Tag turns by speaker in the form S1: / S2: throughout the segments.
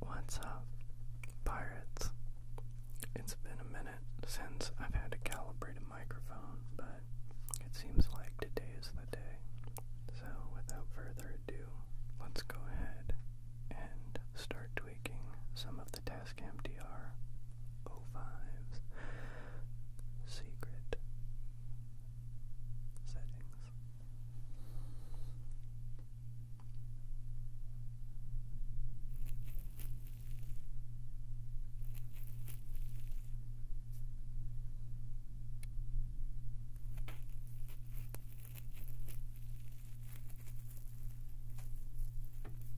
S1: What's up, pirates? It's been a minute since I've had to calibrate a microphone, but it seems like today is the day. So, without further ado, let's go ahead and start tweaking some of the Tascam DR 05's secret settings.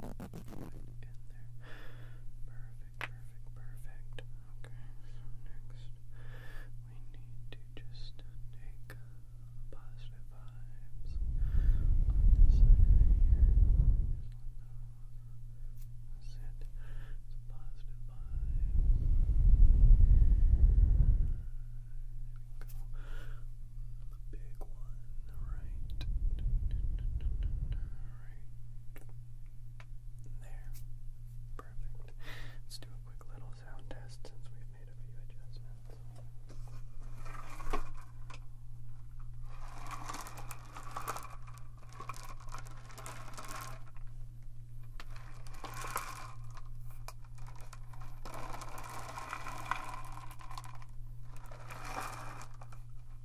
S1: perfect, perfect. Okay, next we need to just take positive vibes on this side here. let them, that's it. positive vibes. There we go. The big one, right? Alright. There. Perfect. Let's do a quick little sound test since we've made a few adjustments. Okay,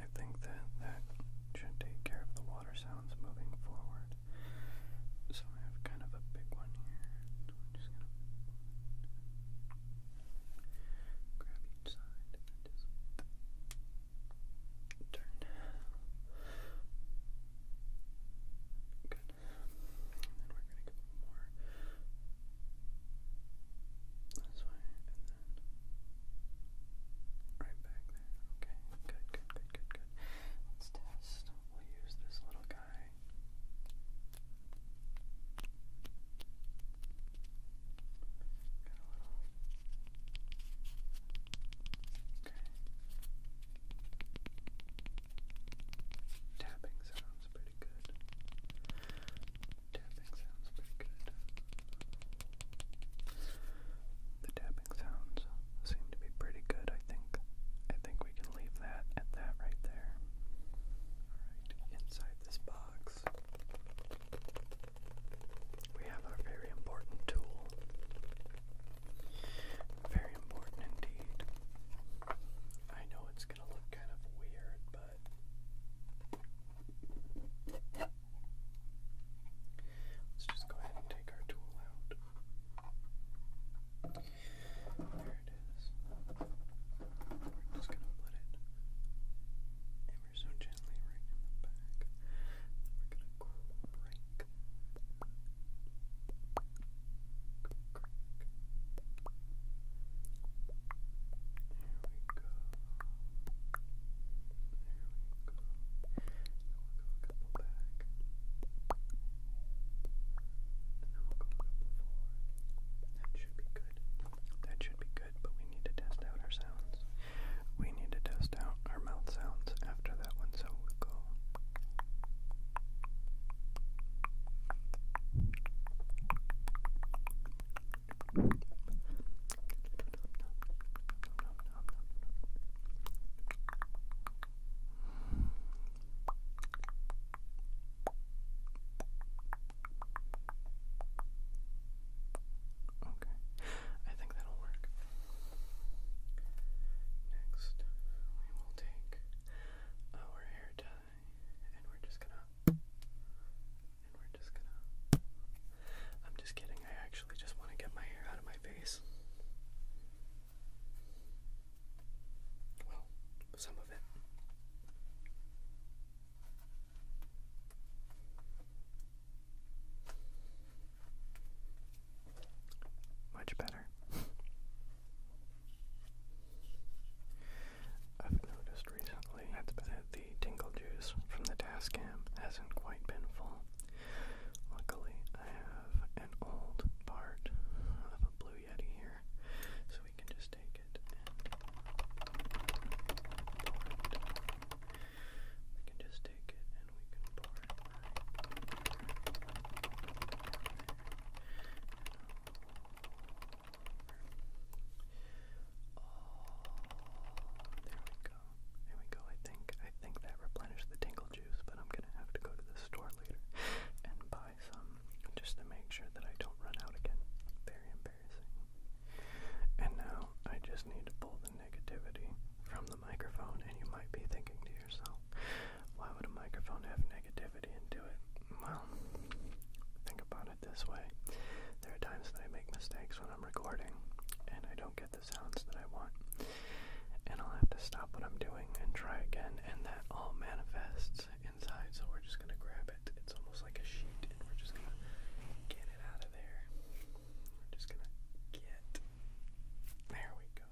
S1: I think that that should take care of the water sounds moving forward. So I have kind of a big one here. I'm just gonna Grab each side turn. Good. And then we're gonna go more this way and then right back there. Okay, good, good, good, good, good. Let's test. We'll use this little guy. Okay. Tapping sounds pretty good. Tapping sounds pretty good. The tapping sounds seem to be pretty good, I think. I think we can leave that at that right there. Alright, inside this box we have our very important tool. Very important indeed. I know it's going to look kind of weird, but let's just go ahead and take our tool out. There it is. We're just gonna put it ever so gently right in back. we're gonna crank. Crank. There we go. There we go. Now we'll go a couple back. And then we'll go a couple forward. That should be good. That should be good, but we need to test out our sounds. We need to test out our mouth sounds after that one, so we'll go. Okay, I think that'll work. Next, we will take our hair tie and we're just gonna. And we're just gonna. I'm just kidding, I actually just want to get my hair out of my face. Well, some of it. Much better. I've noticed recently that the tingle juice from the Tascam hasn't quite been full. Luckily, I have an old part of a blue blue yeti here, so we can just take it We can just take it and we can pour it oh, there we go. There we go. I think I think that replenished the tingle juice, but I'm gonna have to go to the store later and buy um, just to make sure that I don't run out again. Very embarrassing. And now I just need to pull the negativity from the microphone, and you might be thinking to yourself, why would a microphone have negativity into it? Well, think about it this way. There are times that I make mistakes when I'm recording, and I don't get the sounds that I want. And I'll have to stop what I'm doing and try again, and that all manifests so we're just gonna grab it. It's almost like a sheet, and we're just gonna get it out of there. We're just gonna get. There we go.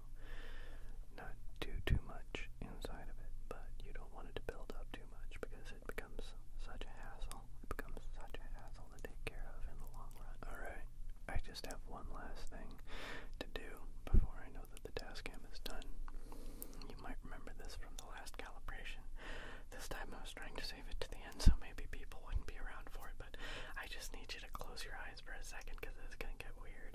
S1: Not do too much inside of it, but you don't want it to build up too much because it becomes such a hassle. It becomes such a hassle to take care of in the long run. Alright, I just have one last thing to do before I know the dash is done. You might remember this from the last calibration. This time I was trying to save it to the end so maybe people wouldn't be around for it, but I just need you to close your eyes for a second it's going to get weird.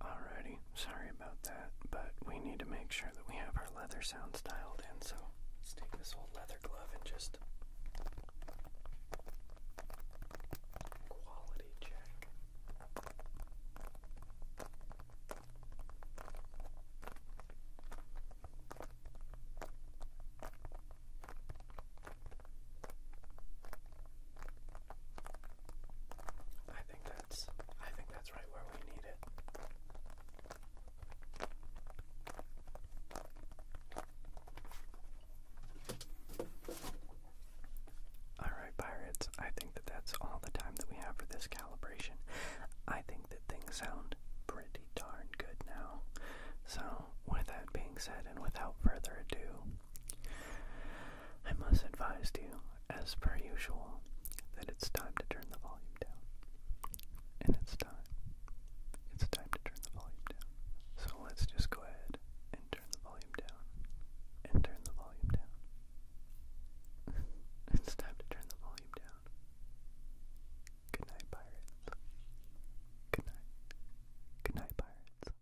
S1: Alrighty, sorry about that, but we need to make sure that we have our leather sounds dialed in, so let's take this old leather glove and just quality check. I think that's I think that's right where we need it. Alright, pirates, I think that that's all the time that we have for this calibration. I think that things sound pretty darn good now. So, with that being said, and without further ado, I must advise you, as per usual, that it's time to turn the volume down. And it's time. It's time to turn the volume down. So let's just go ahead and turn the volume down. And turn the volume down. it's time to turn the volume down. Good night, pirates. Good night. Good night, pirates.